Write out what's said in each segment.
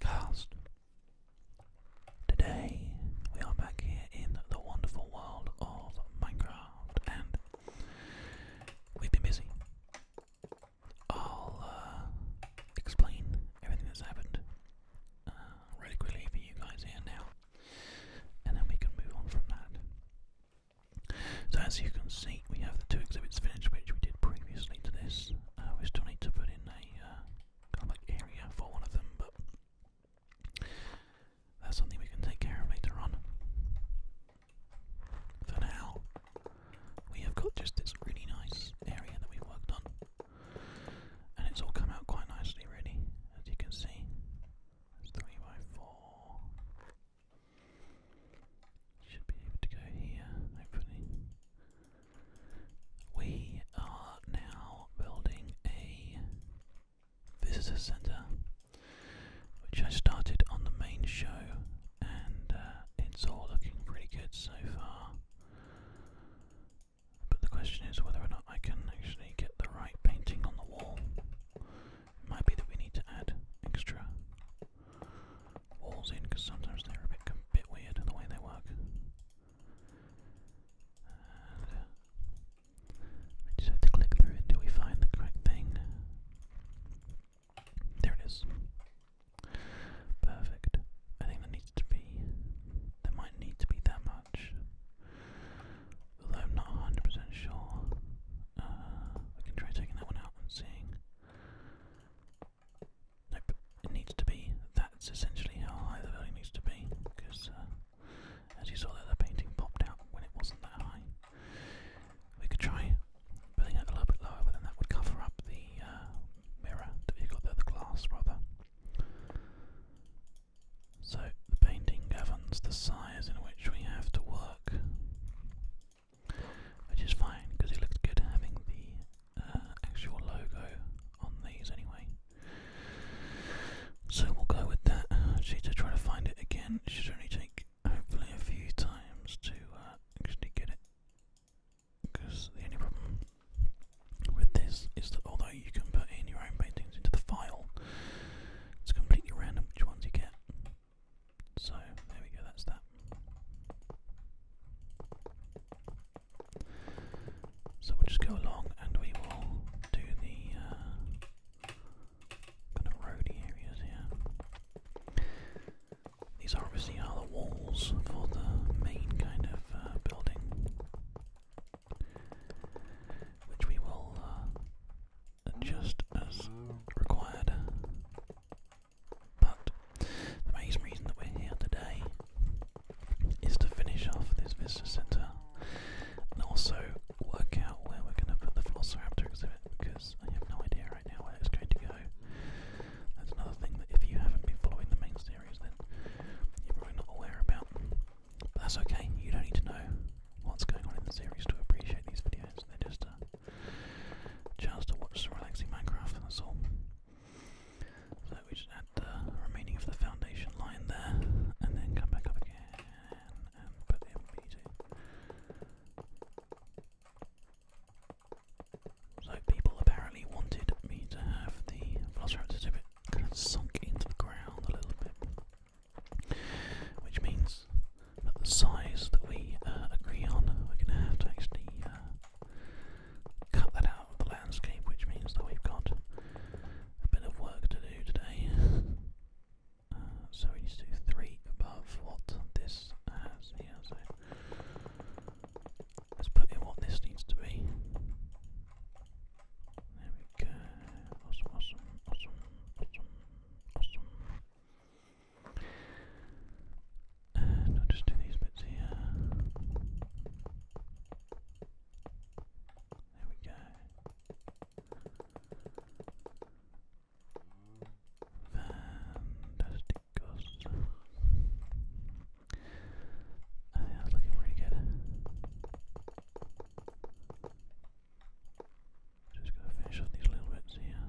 Cast. Today we are back here in the wonderful world of Minecraft, and we've been busy. I'll uh, explain everything that's happened uh, really quickly for you guys here now, and then we can move on from that. So as you can see, we have the two exhibits finished, which we did previously to this. Uh, we still need to put in a uh, area for one of them, but that's something we can take care of later on. For now, we have got just this really nice area that we worked on, and it's all come out quite nicely, really, as you can see. three by four. Should be able to go here, hopefully. We are now building a visitor center, which I started on the main show, and uh, it's all looking pretty good so far. But the question is whether or not I can actually get the right painting on the wall. It might be that we need to add extra walls in because sometimes they're a bit, weird the way they work. Uh, I just have to click through until we find the correct thing. There it is. Perfect. I think there needs to be. There might need to be that much. Although I'm not 100% sure. Uh, can try taking that one out and seeing. Nope, it needs to be, that's essentially how high the building needs to be, because uh, as you saw there, the painting popped out when it wasn't that high. We could try building it a little bit lower, but then that would cover up the uh, mirror that we've got there, the glass rather. So the painting governs the size in which we have to work. Which is fine because it looks good having the uh, actual logo on these anyway. So we'll go with that. Actually, to try to find it again, it should only take hopefully a few times to uh, actually get it. Because the only problem with this is that although you can put in your own paintings into the file, it's completely random which ones you get. So there we go, that's that. So we'll just go along and we will do the uh, kind of roady areas here. These are obviously are the walls for the main kind of uh, building, which we will uh, adjust as required. But the main reason that we're here today is to finish off this visitor centre and also work out where we're going to put the Velociraptor exhibit because I have no idea right now where it's going to go. That's another thing that if you haven't been following the main series, then you're probably not aware about. But that's okay, you don't need to know what's going on in the series to appreciate these videos. They're just a chance to watch some relaxing Minecraft, that's all. So we just add the remaining of the foundation line there, and then come back up again and put in b So people apparently wanted me to have the Velociraptors a bit kind of sunk into the ground a little bit, which means at the size that we uh, agree on, we're going to have to actually uh, cut that out of the landscape, which means that we've got a bit of work to do today. Uh, so we need to three above what this has let's put in what this needs to be. There we go. And i just do these bits here. There we go. Fantastic course. Oh, looking pretty good. I'm just going to finish off these little bits here,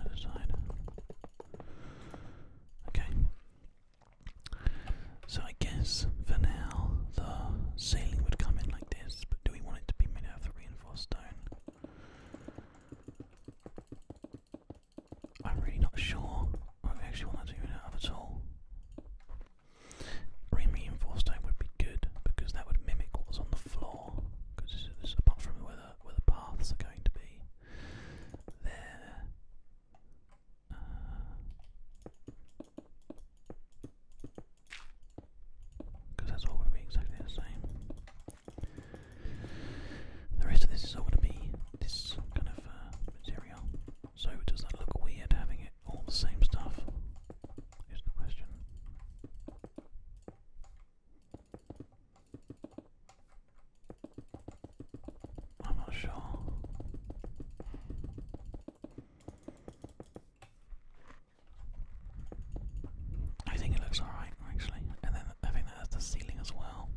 either side. Okay. So I guess for now the ceiling would come in like this, but do we want it to be made out of reinforced stone? I'm really not sure what we actually want to do it out of at all. Reinforced stone would be good because that would mimic what was on the floor. Because apart from where the, paths are going to be. There. because uh, that's all going be exactly the same. The rest of this is all going to be this kind of uh, material. So does that look weird having it all the same stuff? Is the question. I'm not sure. I think it looks alright, actually. And then I think that's the ceiling as well.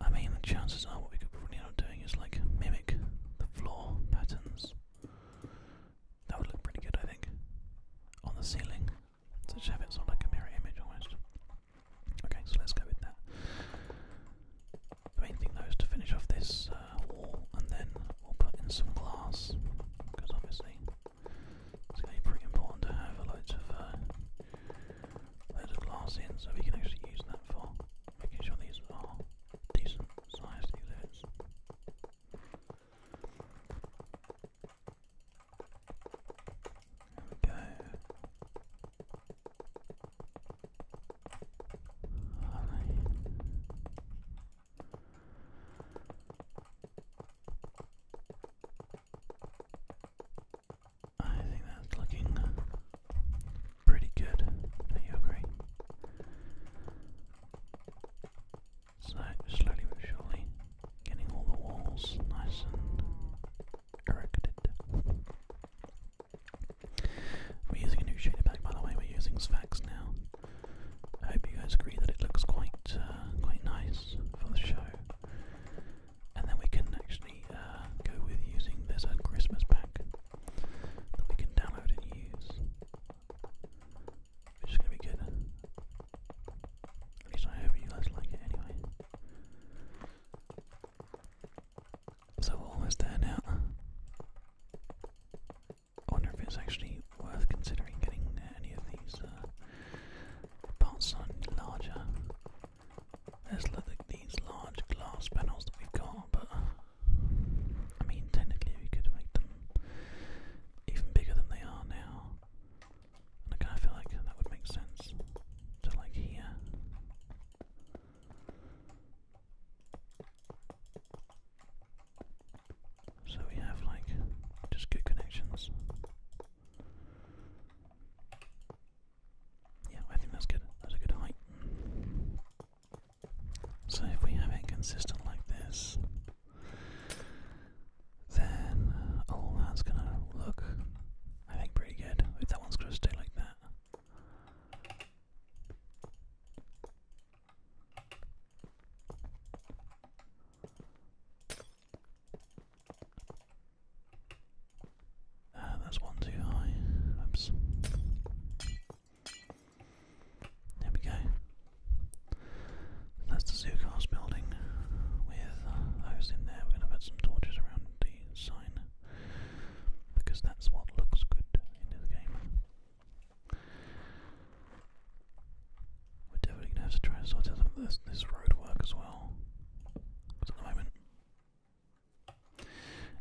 I mean, the chances are what we could probably end doing is like mimic the floor patterns. That would look pretty good, I think, on the ceiling. Such so habits on like a mirror image almost. Okay, so let's go with that. The main thing though is to finish off this uh, wall and then we'll put in some glass because obviously it's going to be pretty important to have a loads of uh, loads of glass in so we can actually use that for making sure these are decent sized exhibits we I think that's looking pretty good. Do you agree? So, slowly but surely, getting all the walls nice and erected. We're using a new shader pack, by the way. We're using Sfax now. I hope you guys agree that it looks quite, uh, quite nice for the show. And then we can actually uh, go with using this Christmas pack we can download and use. It's gonna be good. At least I hope you guys like it anyway. So we're almost there now. I wonder if it's actually worth considering getting any of these uh, parts on larger. There's look at these large glass panels that we've got, but I mean, technically we could make them even bigger than they are now. And I feel like that would make sense to like here. So we have like just good connections. Yeah, I think that's good. That's a good height. So if we have it consistent like this, then uh, oh that's gonna look I think pretty good if that one's gonna stay like that. Uh, that's one too high. Oops. There we go. That's the Zoocast building with those in there. We're going to put some torches around the sign because that's what looks good in the game. We're definitely going to have to try and sort out some of this, road work as well. Because at the moment,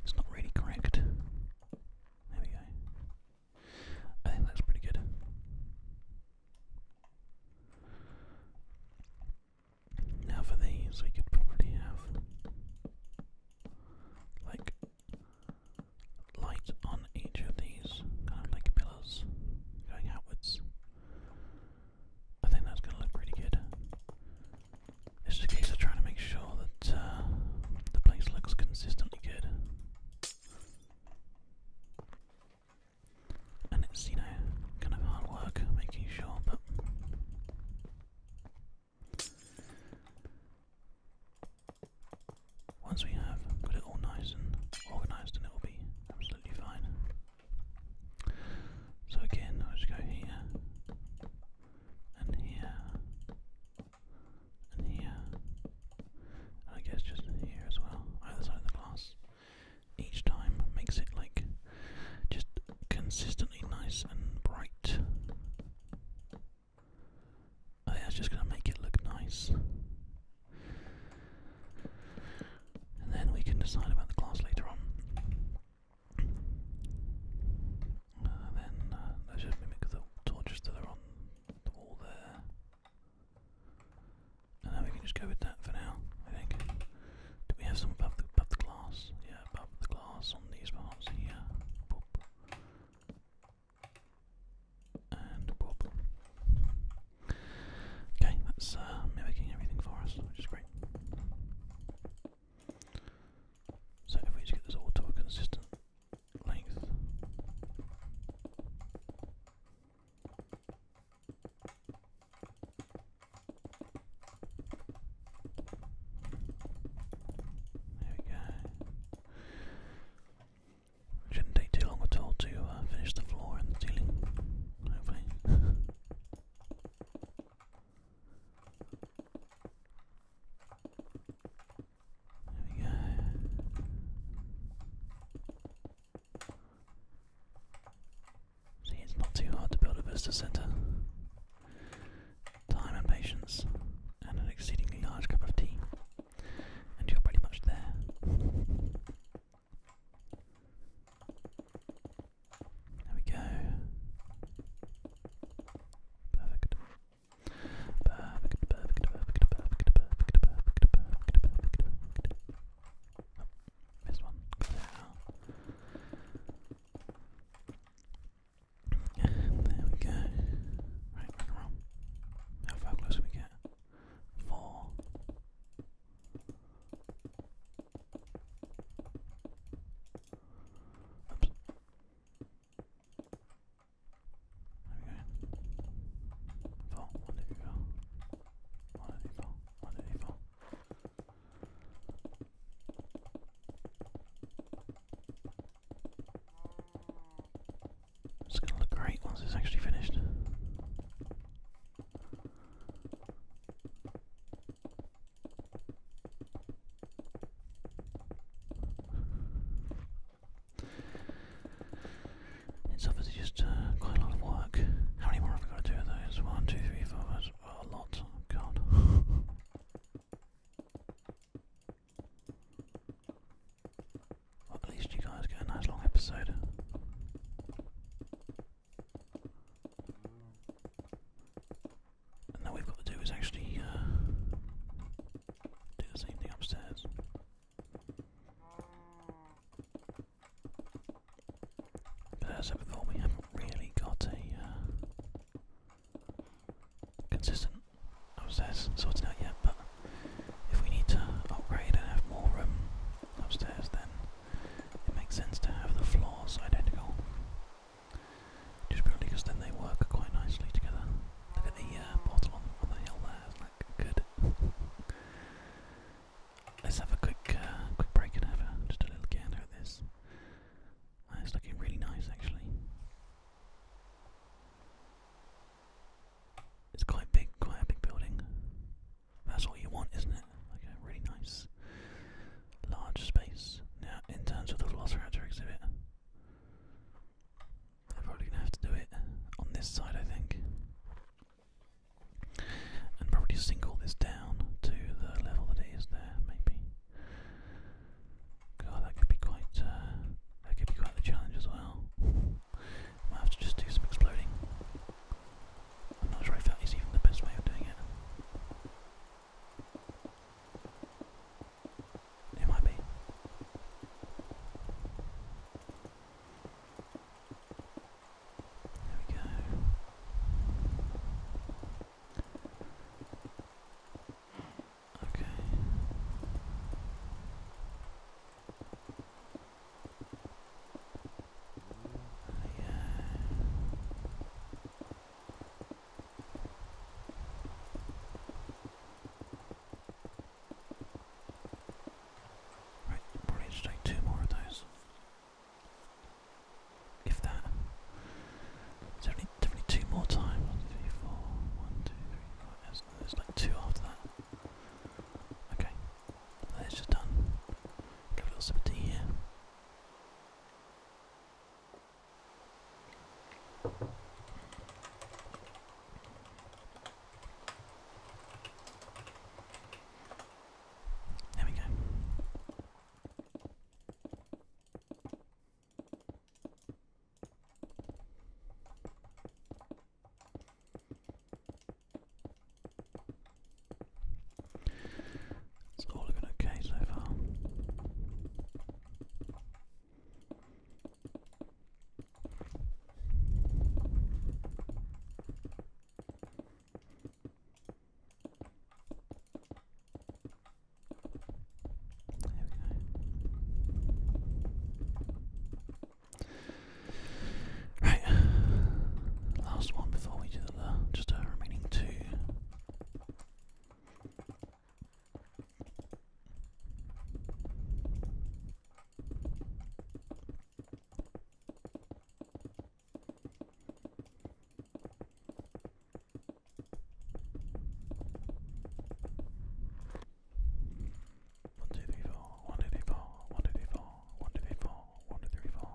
it's not really correct. There I think that's pretty good. Now, for these, we could probably have like light on each of these, kind of like pillars going outwards. I think that's going to look pretty good. It's just a case of trying to make sure that uh, the place looks consistently good and it's you know kind of hard work making sure, but once we have got it all nice and organised, and it will be absolutely fine. So again, I'll just go here and here and here, and I guess just here as well, either side of the glass each time makes it like just consistently nice and bright. I think that's just going to make it look nice. And then we can decide about the class later on. Uh, then let's just mimic the torches that are on the wall there. And then we can just go with that for now, I think. Do we have some above the, glass? Yeah, above the glass on these parts here. And Okay, that's uh, mimicking everything for us, which is great. So if we just get this all to a consistent length. There we go. Shouldn't take too long at all to uh, finish the floor and the ceiling, hopefully. there we go. See, it's not too hard to build a Vista Center. Time and patience, and an exceedingly large cup of tea, and you're pretty much there. There we go. Perfect. Perfect, perfect, perfect, perfect, perfect, perfect, perfect, perfect, perfect. Oh, missed one. There we go. Right, rock How far close we get? Four. Oops. There we go. Four. One, two, three, four. It's gonna look great once it's actually finished. It's obviously just uh, quite a lot of work. How many more have we got to do of those? One, two, three, four. That's oh, a lot. God. at least you guys get a nice long episode. And now we've got to do is actually uh, do the same thing upstairs. But as I said before, we haven't really got a uh, consistent upstairs sorted out yet, but if we need to upgrade and have more room upstairs, then it makes sense to have the floors identical. Just purely because then they work quite nicely together. Look at the uh, on the hill there, it's like good. Let's have a quick, uh, quick break and have a, just a little gander at this. Uh, it's looking really nice, actually. It's quite big, quite a big building. That's all you want, isn't it? Like a really nice, large space. Now, in terms of the Velociraptor exhibit, I'm probably going to have to do it on this side, I think and probably sink all this down to the level that it is there, maybe. God, that could be quite uh, that could be quite the challenge as well. Might have to just do some exploding. I'm not sure if that is even the best way of doing it. It might be. There we go. Okay. Yeah. Right, probably need take two more of those. If that. Definitely, definitely two more times. One, two, four. One, two, three, four. There's, there's like two after that. Okay. That's just done. Give a little sip of tea here. There we go. It's all looking okay so far. Right, last one before we do the just a remaining two. One, two, three, four. One, two, three, four. One, two, three, four. One, two, three, four. One, two, three, four.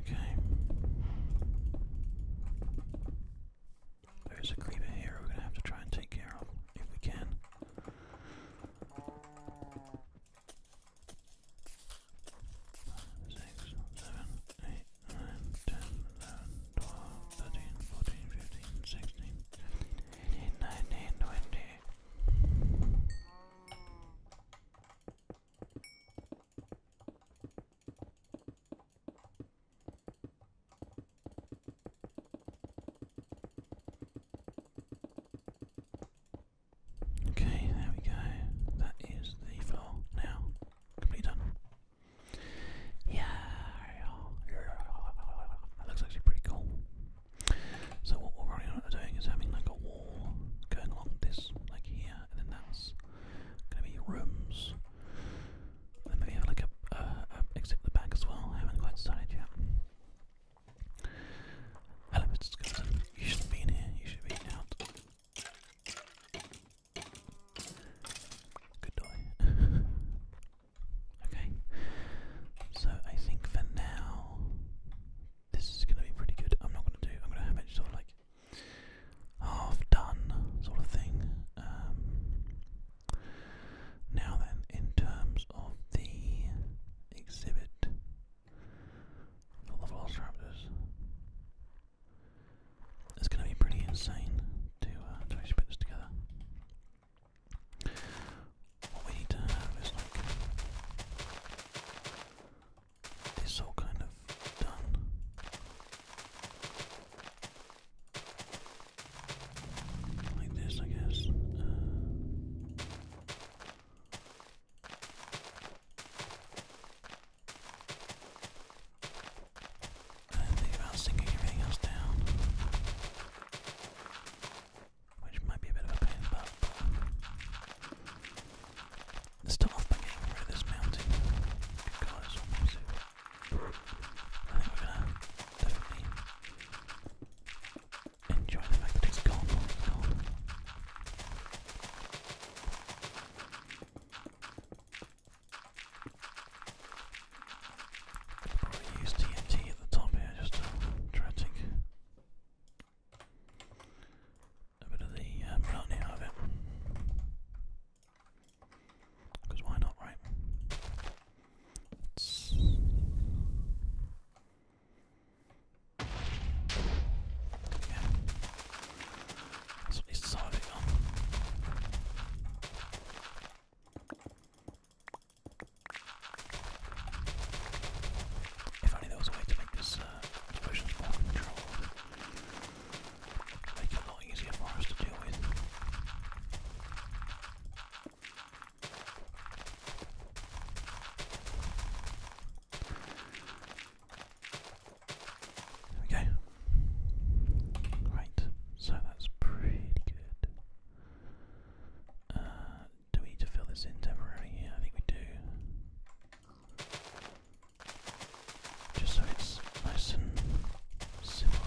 Okay. There's a creeper here we're going to have to try and take care of if we can. Six, seven, eight, nine, ten, eleven, twelve, thirteen, fourteen, fifteen, sixteen, eighteen, nineteen, twenty. Okay, there we go. That is the floor now. Completely done. Yeah, that looks actually pretty cool. So what we're running on doing is having like a wall going along this, like here, and then that's going to be rooms. Then maybe have like a, exit the back as well. I haven't quite started yet. Hello, Mr. Skeleton. You should be in here. You should be out. Good boy. okay. So I think for now, this is going to be pretty good. I'm not going to do. I'm going to have it sort of like half done sort of thing. Um, now then, in terms of the exhibit for the Velociraptors, it's going to be pretty insane uh, to actually put this together. What we need to have is like this all kind of done. Like this, I guess. Uh, I think about sinking everything else down, which might be a bit of a pain, but let's getting rid this mountain I think we're gonna definitely enjoy the fact that it's gone, probably use TNT at the top here just to try a bit of the uh, out of it. Because why not, right? It's yeah. That's it If only there was a way to make this uh, explosions more controlled. Make it a lot easier for us to deal with we go. so that's pretty good. Uh, do we need to fill this in temporarily I think we do. Just so it's nice and simple.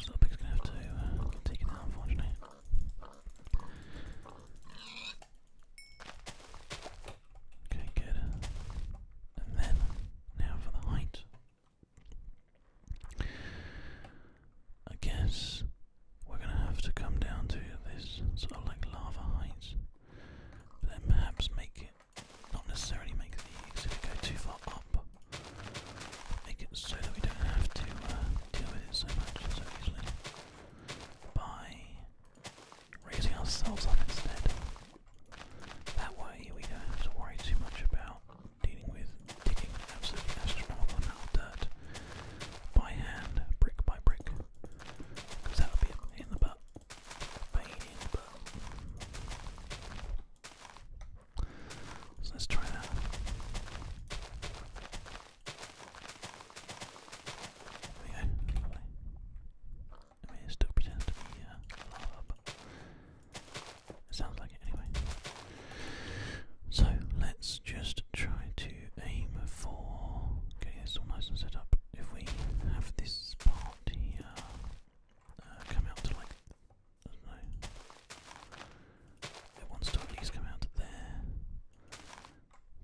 So Pig's gonna have to uh, take it out, unfortunately. Okay, good. And then, now for the height. I guess we're gonna have to come down to this sort of like lava heights, but then perhaps make it not necessarily make the exit go too far up, make it so that we don't have to uh, deal with it so much by raising ourselves up instead. That way we don't have to worry too much about dealing with digging absolutely astronomical amount of dirt by hand, brick by brick, because that would be in the butt let's try that. There we go. Lovely. I mean, it to be uh, lava, it sounds like it anyway. So let's just try to aim for. Okay, it's all nice and set up. If we have this part here, uh, come out to like, I don't know, it wants to at least come out to there.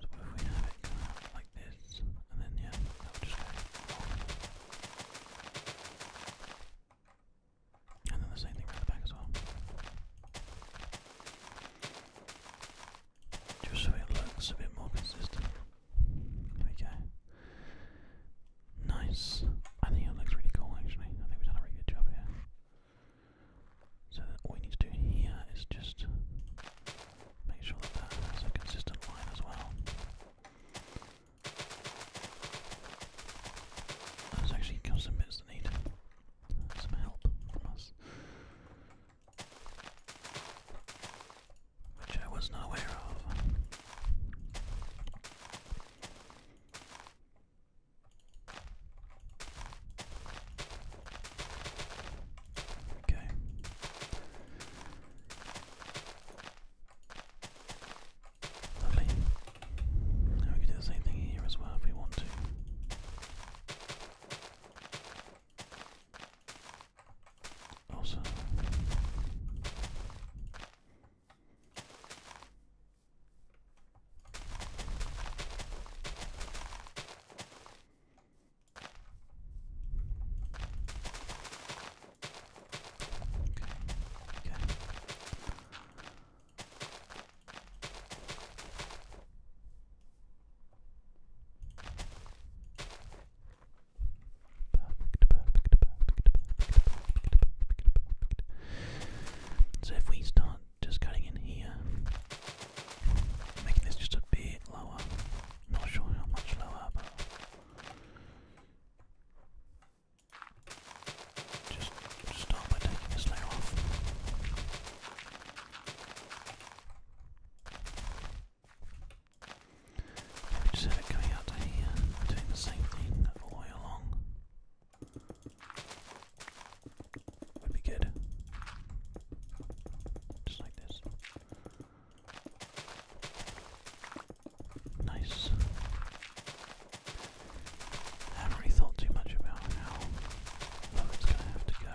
So if we have it come out like this, and then yeah, And then the same thing around the back as well. Just so it looks a bit more consistent. There we go. Nice. I think it looks really cool actually. I think we've done a really good job here. So all we need to do here is just make sure that that is a consistent line as well. There's actually some bits that need some help from us which I was not aware of. Okay. Lovely. we can do the same thing here as well if we want to. Also, okay, okay. So if we start just cutting in here, making this just a bit lower. Not sure how much lower, but just, start by taking this layer off. We just have it coming out to here, doing the same thing all the way along. Would be good. Just like this. Nice. haven't really thought too much about how it's going to have to go.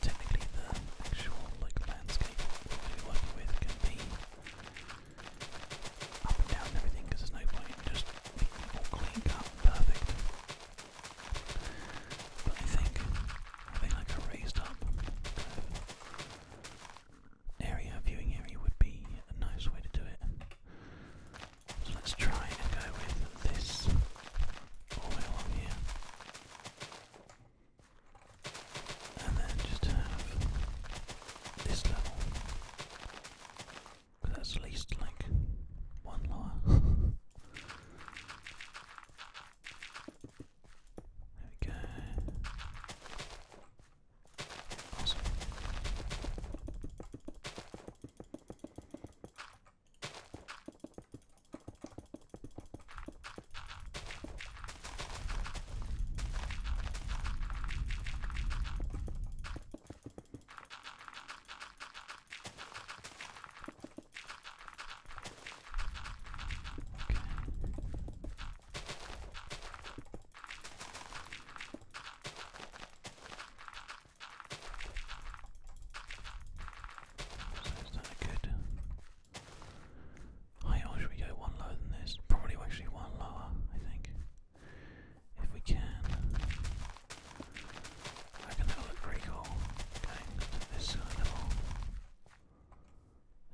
Technically, the actual like landscape we're working with can be up and down and everything because there's no point just clean cut perfect. But I think having like a raised up uh, area, viewing area would be a nice way to do it. So let's try and go with this all the here and then just have this level. that's at least like one lower. there we go. Awesome. So is that a good Hey, or go one lower than this? Probably actually one lower, I think. If we can. I can that'll look pretty cool. Going to this side of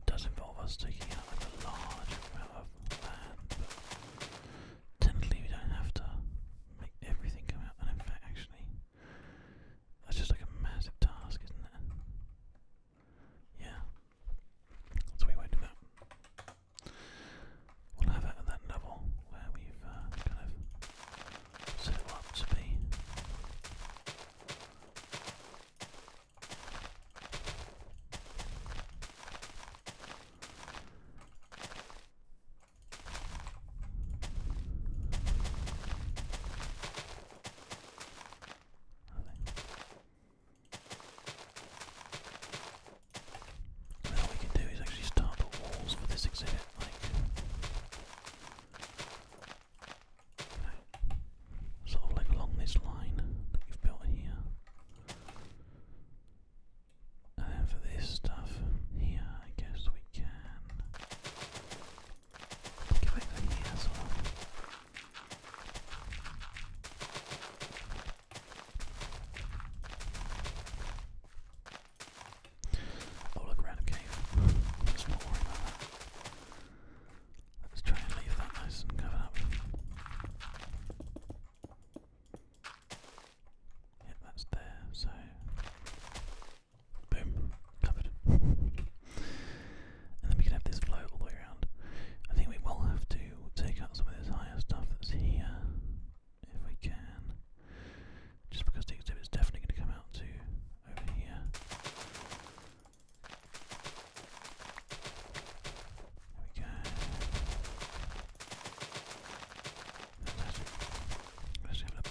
It does involve us taking out like a large amount of land, but technically we don't have to make everything come out. And in fact, actually, that's just like a massive task, isn't it? Yeah. So we won't do that. We'll have it at that level where we've uh, kind of set it up to be. And all we can do is actually start the walls for this exhibit, like sort of along this line that we've built here. And then for this stuff here, I guess we can Oh look, random cave. Let's not worry about that. Let's try and leave that nice and covered up. Yep, that's there, so boom, covered and then we can have this flow all the way around. I think we will have to take out some of this higher stuff that's here, if we can, just because the exhibit's definitely going to come out to over here. There we go. Let's have a little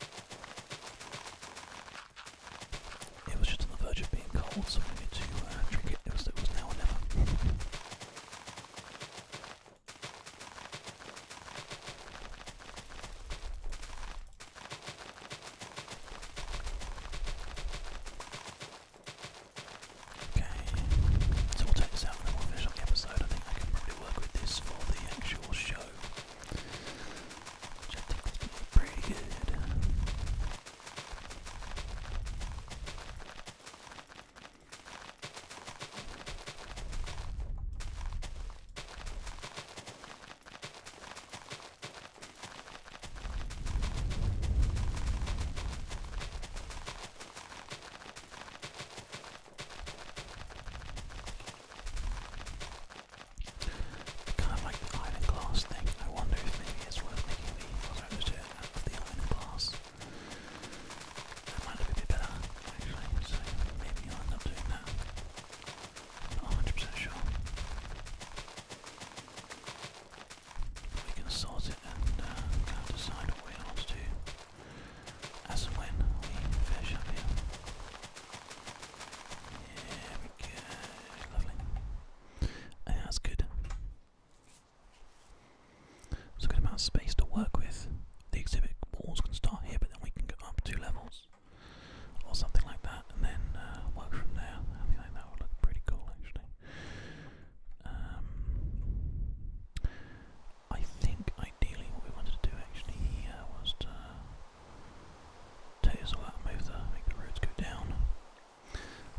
It was just on the verge of being cold, so we needed to uh, drink it. It was, now or never. Okay, so we'll take this out and then we'll episode. I think I can probably work with this for the actual show. Which I think is doing pretty good. All Kind of like the iron glass thing. I wonder if maybe it's worth making the photo iron glass. That might be a bit better, actually, maybe I'll end up doing that. I'm not 100% sure. We can sort it and uh, kind of decide want to as and when we finish up here. There we go. Lovely. that's good. It's a good amount of space to work with. The exhibit walls can start here, but then we can go up two levels or something like that, and then uh, work from there. I like that would look pretty cool, actually. Um, I think I ideally what we wanted to do actually here uh, was to take this all out and move the, make the roads go down.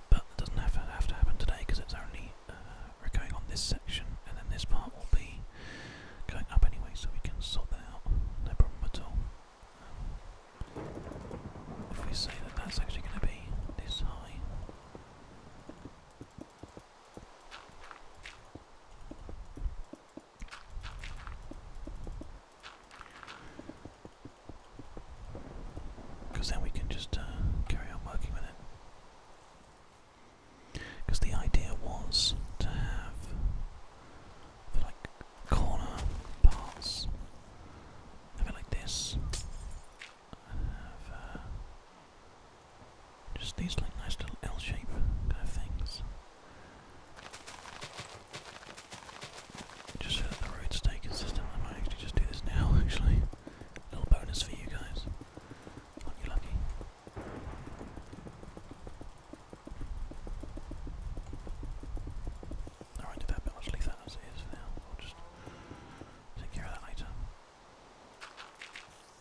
But it doesn't have to, have to happen today because it's only uh, we're going on this section and then this part will be going up anyway so we can sort that out, no problem at all. Um, if we say that that's actually going to be this high, because then we can just uh, carry on working with it. Because the idea was to have like corner parts, have like this, uh, just these like nice little L-shape kind of things. Just so that the road stay consistent, I might actually just do this now, actually. little bonus for you guys. Aren't you lucky? I will that bit, I'll leave that as it is now. I'll just take care of that later.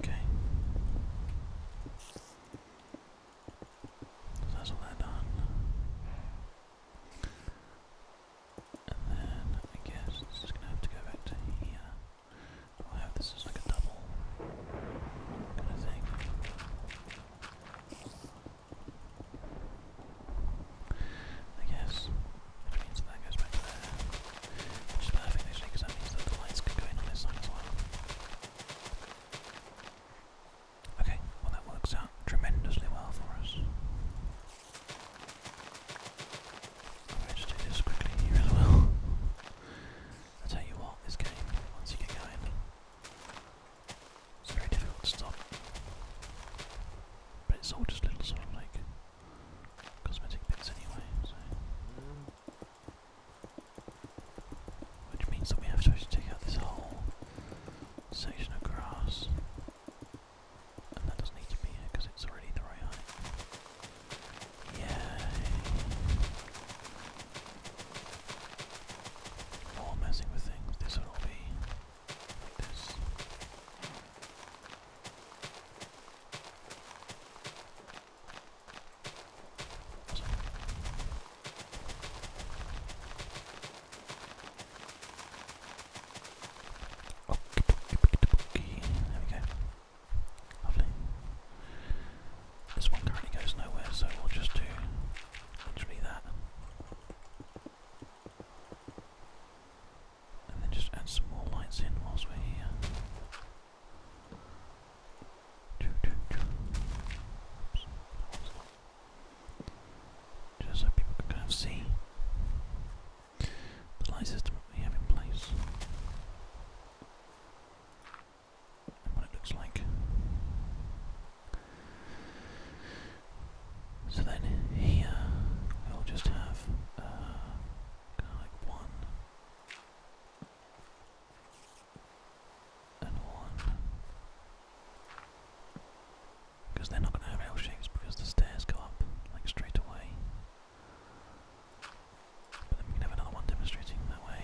Okay. So that's all that done. And then I guess it's just gonna have to go back to here. I'll oh, have this as like a double kind of thing. I guess it means that goes back to there. Which is perfect actually, because that means that the lights can go in on this side as well. Okay, well that works out tremendously well for us. I'm going to do this quickly here as well. I tell you what, this game, once you get going, it's very difficult to stop. But it's all just a little sort of like cosmetic bits anyway, so. Which means that we have to actually take out this whole section of grass. And that doesn't need to be here because it's already the right yeah. All messing with things. This would be this. there we go. Lovely. This one currently goes nowhere, so we'll just do literally that. And then just add some more lights in whilst we're here. Just so people can kind of see the light system we have in place what it looks like. So then here we'll just have uh, kind of like one and one. Because they're not going to have L shapes because the stairs go up like straight away. But then have another one demonstrating that way.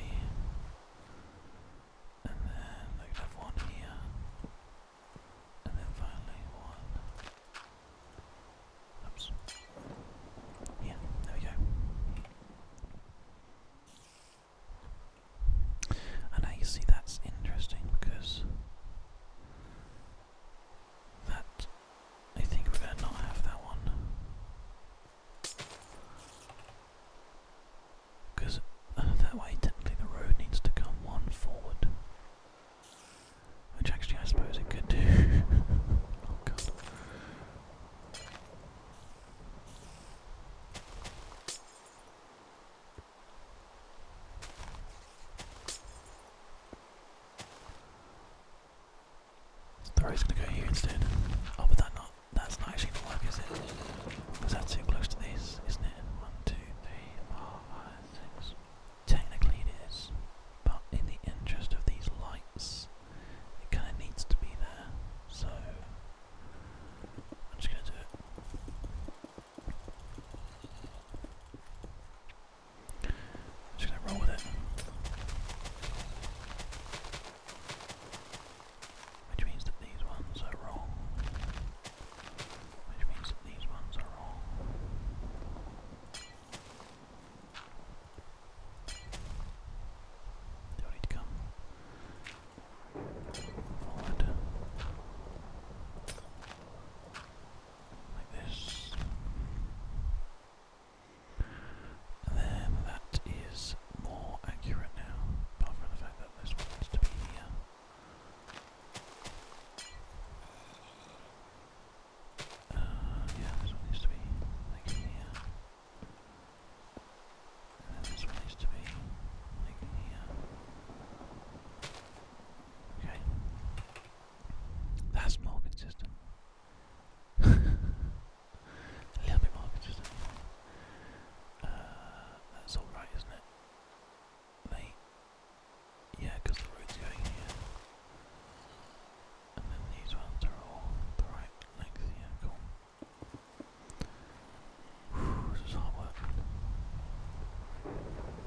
And then we can have one here. And then finally one. Oops. Yeah, there we go. And now you see that's interesting because that I think we're not have that one. Because uh, that way, technically, the road needs to come one forward. Which actually, I suppose it could do. oh god. The road's gonna go here instead. Oh, but that's not actually gonna work, is it? Because too close to this, isn't it? One, two, three, four, five, six. Technically it is, but in the interest of these lights, it kind of needs to be there. So I'm just gonna do it. just gonna roll with it. Which means that these ones are wrong. Which means that these ones are wrong. do need to come forward. Like this then that is more accurate now, apart from the fact that this one wants to be uh, yeah, this one needs to be like here. And this one needs to be like here. Okay. That's more consistent. A little bit more uh, that's alright, isn't it? They, yeah, the road's going here. And then these ones are all the right length, yeah, this is hard work.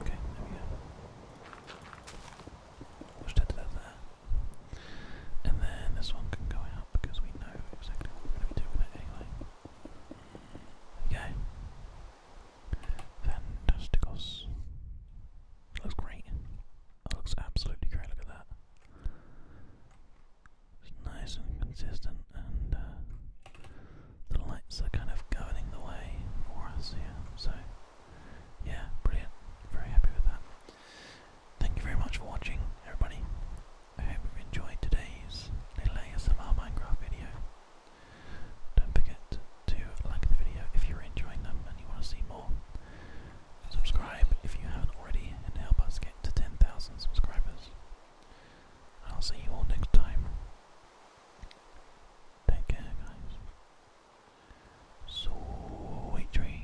Okay, there we go. We'll that there. And then this one can go out because we know exactly what we're doing anyway. Okay. Fantasticos. Looks great. That looks absolutely great, look at that. It's nice and consistent and uh, the lights are kind of governing the way for us here. So yeah, brilliant. Very happy with that. Thank you very much for watching, everybody. I hope you've enjoyed today's little ASMR Minecraft video. Don't forget to like the video if you're enjoying them and you want to see more. Subscribe if you haven't already and help us get to 10,000 subscribers. I'll see you all next time. Take care, guys. Sweet dreams.